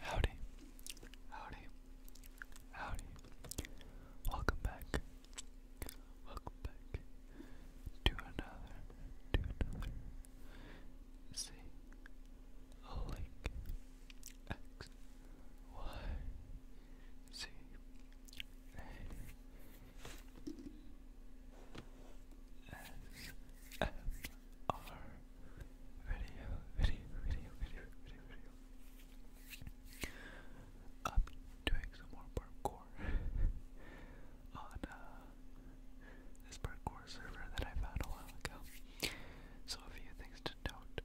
Howdy, howdy, howdy. Welcome back, welcome back to another, to another Z video, video, video, video, video, video. i doing some more parkour on uh, this parkour server that I found a while ago. So a few things to note.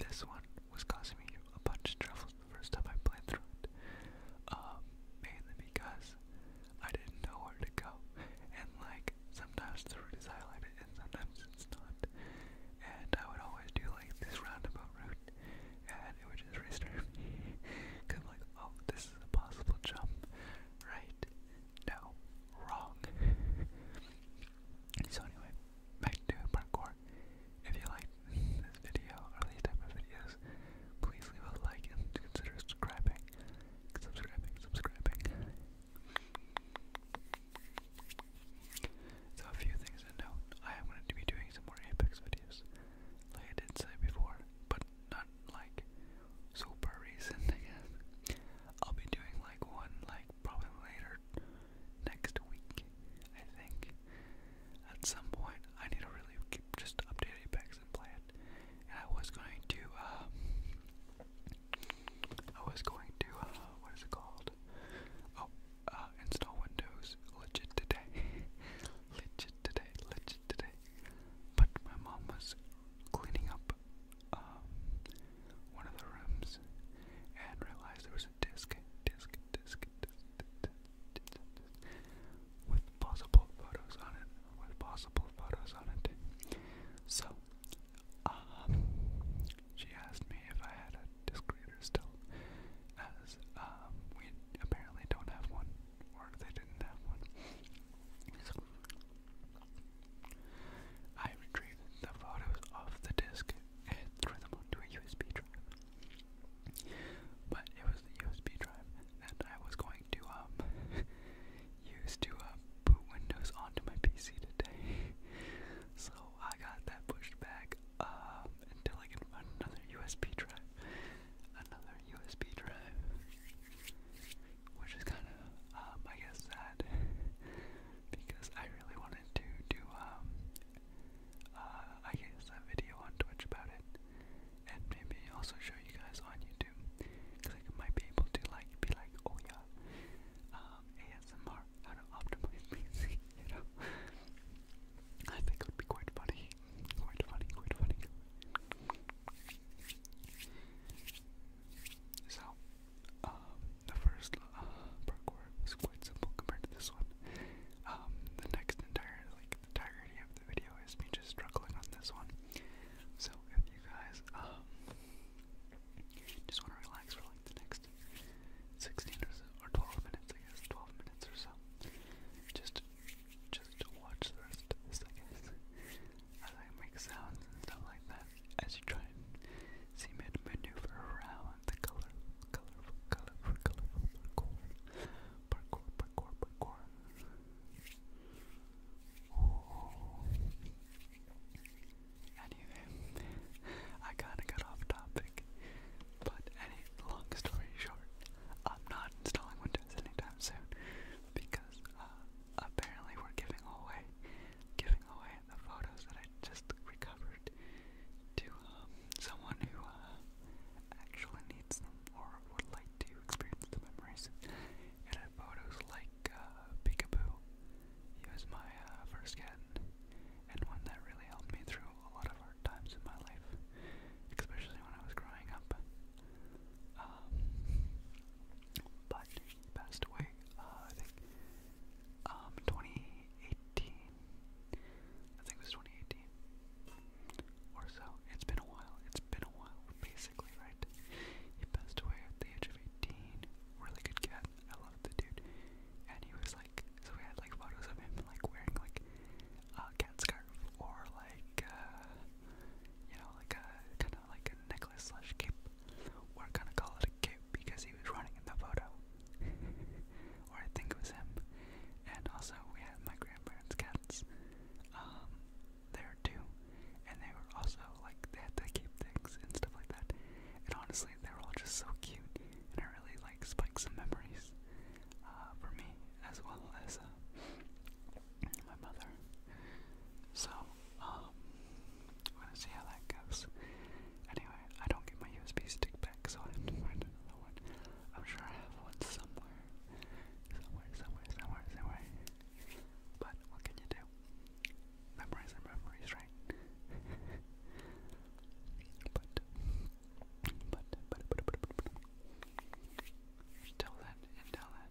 This one was causing me a bunch of trouble the first time I played through it. Um, mainly because I didn't know where to go. And like sometimes the route is highlighted and sometimes it's not. And I would always do like this roundabout route and it would just restart because like, oh, this is a possible jump. Right? No. Wrong. so anyway, back to parkour. If you liked this video or these type of videos, please leave a like and consider subscribing. Subscribing, subscribing. So a few things to note. I am going to be doing some more Apex videos, like I did say before, but not like super recent. I will be doing like one, like probably later next week. I think at some point I need to really just update Apex and play And I was going to um, I was going to, uh, what is it called? Oh, uh, install Windows legit today. legit today, legit today. But my mom was cleaning up um, one of the rooms and realized there was a disc, disc, disc, disc, disc, disc, disc with possible photos on it, with possible photos on it. So um, she asked me if I had a disc reader still, as um, we apparently don't have one, or they didn't have one. So I retrieved the photos off the disc and threw them onto a USB drive. But it was the USB drive that I was going to um used to uh, Windows onto my PC today, so I got that pushed back um, until I can find another USB drive. Another USB drive, which is kind of, um, I guess, sad because I really wanted to do, um, uh, I guess, a video on Twitch about it, and maybe also show you guys on YouTube because I might be able to like be like, oh yeah, um, ASMR, how to optimize PC, you know? I think it would be quite funny. Quite funny, quite funny. So, um, the first uh, parkour quite simple compared to this one. Um, the next entire, like, the entirety of the video is me just struggling on this one. So, if you guys, just want to relax for like the next 16 or, 12 minutes, I guess, 12 minutes or so. Just, just watch the rest I guess, as I make sounds and stuff like that, as you try and see me maneuver around the color, colorful, colorful, colorful parkour, parkour, parkour, parkour. Anyway, I kinda got off topic, but any long story short, I'm not installing Windows anytime soon because uh, apparently we're giving away, giving away the photos that I just recovered to um, someone who uh, actually needs them or would like to experience the memories photos like uh, Peekaboo. He was my uh, first cat, and one that really helped me through a lot of hard times in my life, especially when I was growing up. Um, but he passed away, uh, I think, um, 2018. I think it was 2018 or so. It's been a while. It's been a while, basically, right? He passed away at the age of 18 really good cat. I love the dude. And he was like, so we had like photos of him like wearing like a cat scarf or like, uh, you know, like a kind of like a necklace slash cape. We're gonna call it a cape because he was running in the photo. or I think it was him. And also, we had my grandparents' cats. Um, there too and they were also like they had the cute things and stuff like that. And honestly, they were all just so cute, and it really like spiked some memories uh, for me as well as uh, my mother. So um, we're gonna see how that goes. Anyway, I don't get my USB stick back, so I have to find another one. I'm sure I have one somewhere, somewhere, somewhere, somewhere, somewhere. But what can you do? memorize their memories, right? but, but, but, but, but, but, but, until then, until then,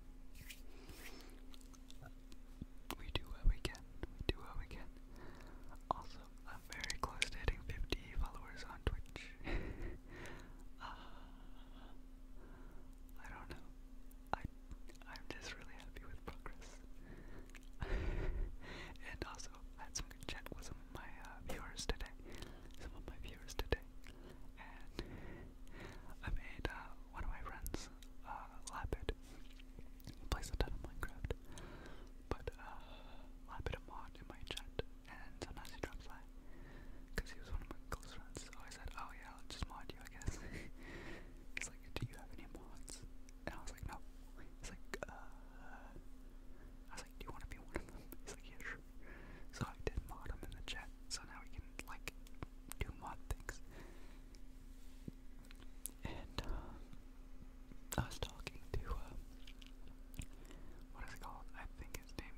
we do what we can, we do what we can. Also, I'm very close to hitting 50 followers on Twitch. uh, I don't know. I, I'm just really happy with progress. and also, had some good chat with some of my uh, viewers today. Some of my viewers today. And I made uh, one of my friends, uh, Lapid, he plays a of Minecraft. But Lapid a mod in my chat, and sometimes he drops by. Because he was one of my close friends, so I said, oh yeah, i just mod you, I guess. He's like, do you have any mods? And I was like, no. He's like, uh. I was like, do you want to be one of them? He's like, yeah, sure. So I did mod him in the chat, so now we can, like, do mod things. And, uh, I was talking to, uh, what is it called? I think his name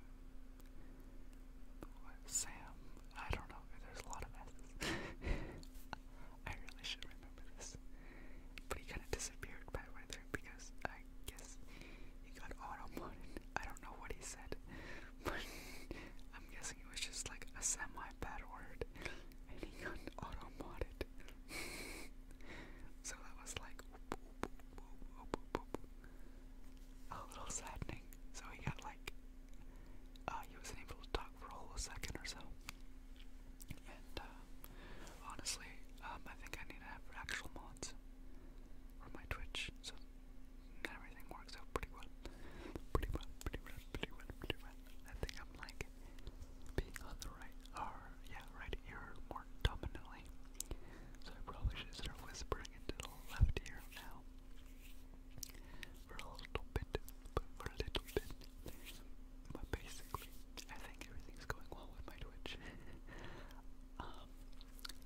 Sam. I don't know, there's a lot of S's. I really should remember this. But he kind of disappeared by weather because I guess he got auto-modded. I don't know what he said, but I'm guessing it was just like a semi-bad word, and he got auto-modded. so that was like a little saddening. So he got like uh, he wasn't able to talk for a whole second or so. And uh, honestly, um, I think I need to have actual mods for my Twitch, so everything works out pretty well. Pretty well, pretty well, pretty well, pretty well. I think I'm like being on the right, or yeah, right ear more dominantly. So I probably should start whispering into the left ear now for a little bit, for a little bit. But basically, I think everything's going well with my Twitch. Um,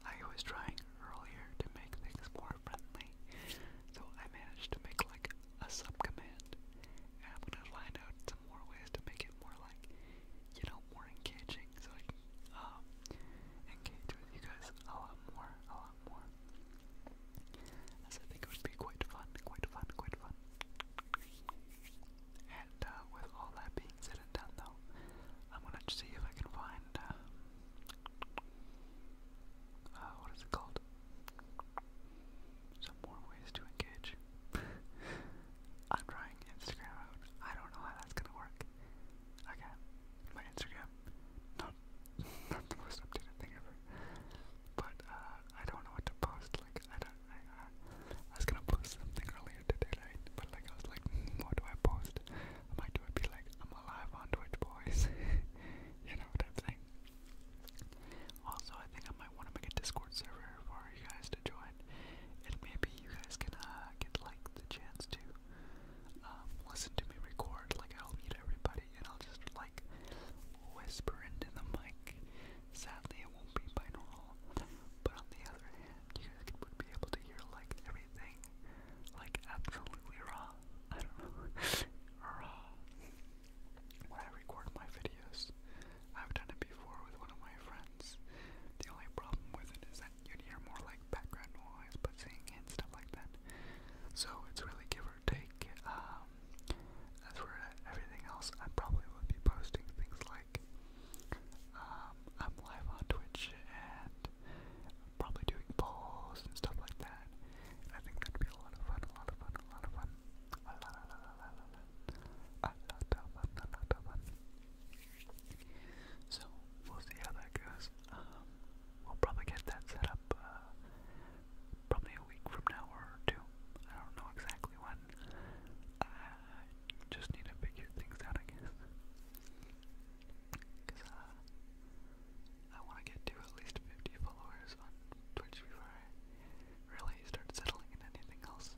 I was trying earlier to make things more friendly, so I managed to make like a subcommand, and I'm gonna find out some more ways to make it more like, you know, more engaging, so I can um, engage with you guys a lot more, I think it would be quite fun, quite fun, quite fun. And uh, with all that being said and done, though, I'm gonna see if I can find uh, uh, what is it called? Some more ways to engage. I'm trying Instagram out. I don't know how that's gonna work. Again, my Instagram, not the most updated thing ever. But uh, I don't know what to post. Like I don't. Uh, I, was gonna post something earlier today, right? But like I was like, hmm, what do I post? I might do it. Be like, I'm alive on Twitch, boys. you know what I'm saying. Also, I think I might want to make a Discord server for you guys to join, and maybe you guys can uh, get like the chance to um, listen to me record. Like I'll meet everybody, and I'll just like whisper into the mic. Sadly, it won't be binaural, but on the other hand, you guys would be able to hear like everything, like absolutely raw. I don't know, raw. When I record my videos, I've done it before with one of my friends. The only problem with it is that you hear more like background noise, but seeing and stuff like that. So it's really give take um, as for everything else, I probably would be posting things like um, I'm live on Twitch and probably doing polls and stuff like that. I think that'd be a lot of fun, a lot of fun, a lot of fun, a lot, a lot, a lot, a lot, a lot of fun, a lot of fun. So we'll see how that goes. Um, we'll probably get that set up uh, probably a week from now or two. I don't know exactly when. I just need to figure things out, I guess. Because uh, I want to get to at least 50 followers on Twitch before really start settling in anything else.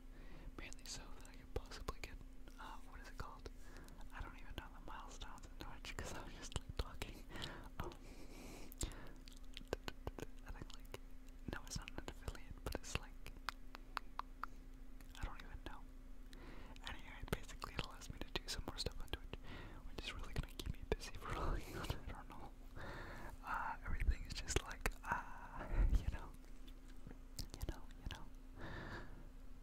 Mainly so that I can possibly get, uh, what is it called? I don't even know the milestones in Twitch because I was just like talking. Oh, and I'm like, no, it's not an affiliate, but it's like, I don't even know. Anyway, basically it allows me to do some more stuff on Twitch, which is really gonna keep me busy for like, I don't know. Uh, everything is just like, ah, uh, you know, you know, you know.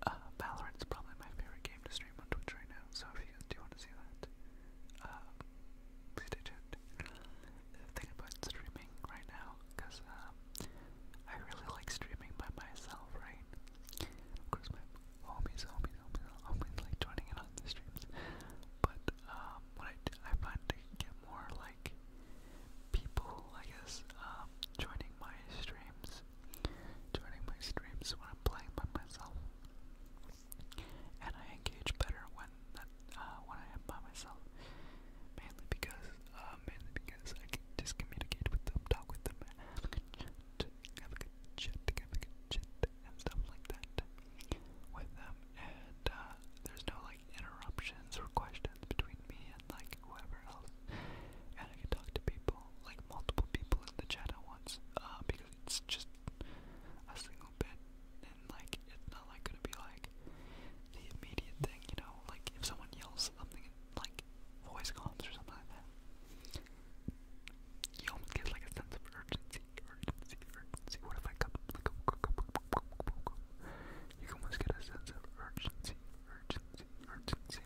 Uh, Valorant is probably my favorite game to stream on Twitch right now, so if you guys do want to see that, uh, please stay tuned. about streaming right now, because um, I really like streaming by myself, right? Of course, my homies, homies, homies, homies like joining in on the streams, but um, I, do, I get more like people, I guess, um, joining my streams, joining my streams when I'm playing by myself and I engage better when uh, when I am by myself. Mainly because uh, mainly because I can just communicate with them, talk with them, have a good chat, have a good chat, have and stuff like that with them. And uh, there's no like interruptions or questions between me and like whoever else. And I can talk to people, like multiple people in the chat at once, uh, because it's just a single bit, and like it's not like gonna be like the immediate thing, you know, like if someone yells something in, like voice comms or something like that, you almost get like a sense of urgency, urgency, urgency. What if I come like you almost get a sense of urgency, urgency, urgency.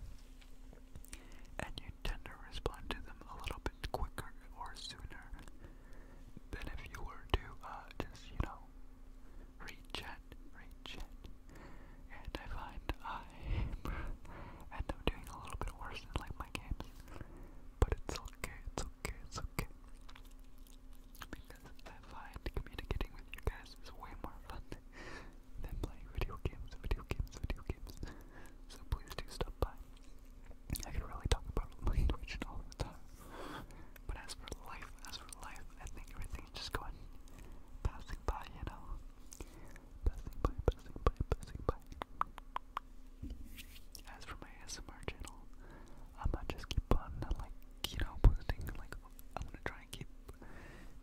And you tend to respond to them a little quicker or sooner than if you were to uh, just, you know, reach it, reach it. And I find I end up doing a little bit worse in like my games, but it's okay, it's okay, it's okay. Because I find communicating with you guys is way more fun than playing video games, video games, video games. So please do stop by. I could really talk about language and all the time. But as for life, as for life, I think everything's just going passing by, you know? Passing by, passing by, passing by. As for my ASMR channel, I might just keep on, like, you know, posting, like, I'm gonna try and keep,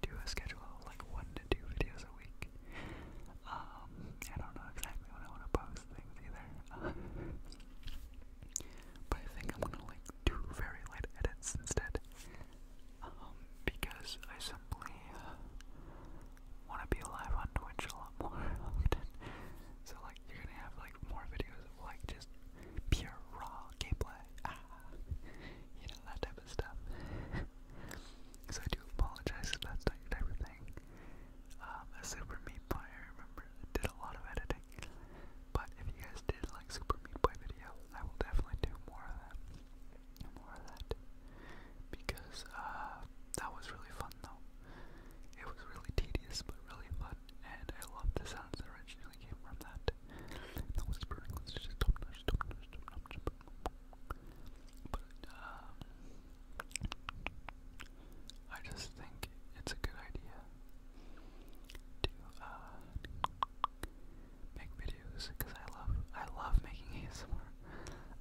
do a schedule of, like, one to two videos a week. Um, I don't know exactly what I want to post either. but I think I'm gonna like do very light edits instead. Um, because I simply uh, want to be alive on Twitch a lot more often. So like you're gonna have like more videos of like just pure raw gameplay, ah, you know that type of stuff. so I do apologize if that's type of thing. Um, a Super Meat Boy, I remember, did a lot of editing. But if you guys did like Super Meat Boy video, I will definitely do more of that. More of that. Because uh, that was really fun though. It was really tedious but really fun, and I love the sounds that originally came from that. The whispering I just think it's a good idea to uh, make videos because I love I love making ASMR.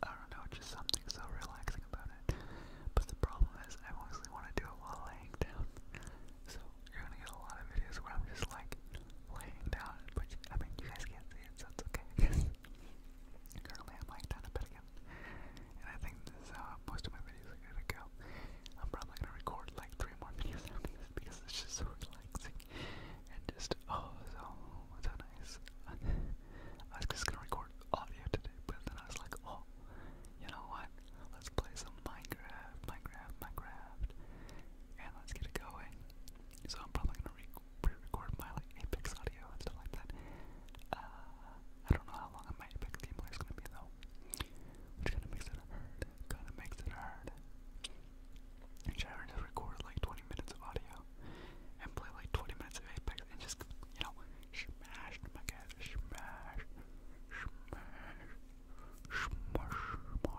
I don't know, just something so relaxing about it. But the problem is, I mostly want to do it while laying down. So you're gonna get a lot of videos where I'm just like laying down, but I mean you guys can't see it, so it's okay. Currently, I'm like down a bit again. And I think this is uh, most of my videos are gonna go. I'm probably gonna record like three more videos because it's just so relaxing. And just, oh, so, so nice. I was just gonna record audio today, but then I was like, oh, you know what? Let's play some Minecraft, Minecraft, Minecraft. And let's get it going. So I'm probably gonna re pre-record like Apex audio and stuff like that. Uh, I don't know how long my Apex gameplay is gonna be though, which kind of makes it hard. Kind of makes it hard. And should just record like 20 minutes of audio and play like 20 minutes of Apex and just you know smash my cat, smash, smash, smash, smash, smash, smash. I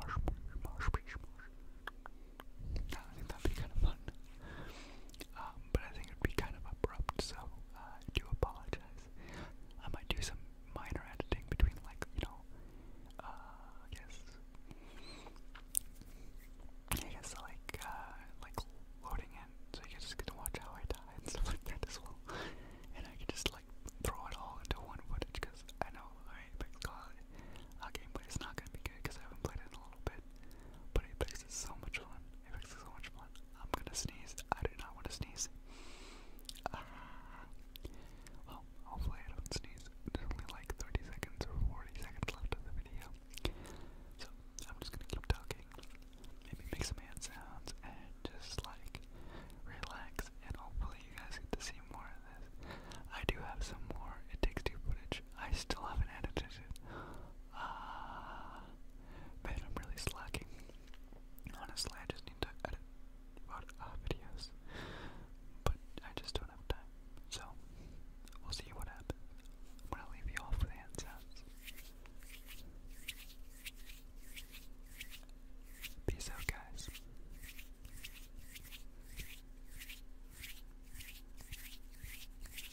think that'd be kind of fun. Um, but I think it'd be kind of abrupt, so uh, I do apologize. I might do some minor editing between, like, you know, uh, I guess, I guess, like, uh, like loading in, so you guys get to watch how I die and stuff like that as well. And I can just, like, throw it all into one footage, because I know, alright, but God, our uh, gameplay is not going to be good, because I haven't played it in a little bit. But I so much fun. Apex is so much fun. I'm gonna sneeze. I do not want to sneeze. Ah. well, hopefully I don't sneeze. There's only like 30 seconds or 40 seconds left of the video. So I'm just gonna keep talking, maybe make some hand sounds, and just like relax. And hopefully you guys get to see more of this. I do have some more It Takes Two footage. I still haven't edited it. Uh, I'm really slacking. Honestly, I just need to edit uh, videos, but I just don't have time. So, we'll see what happens. I'm gonna leave you off with hand sounds. Peace out, guys.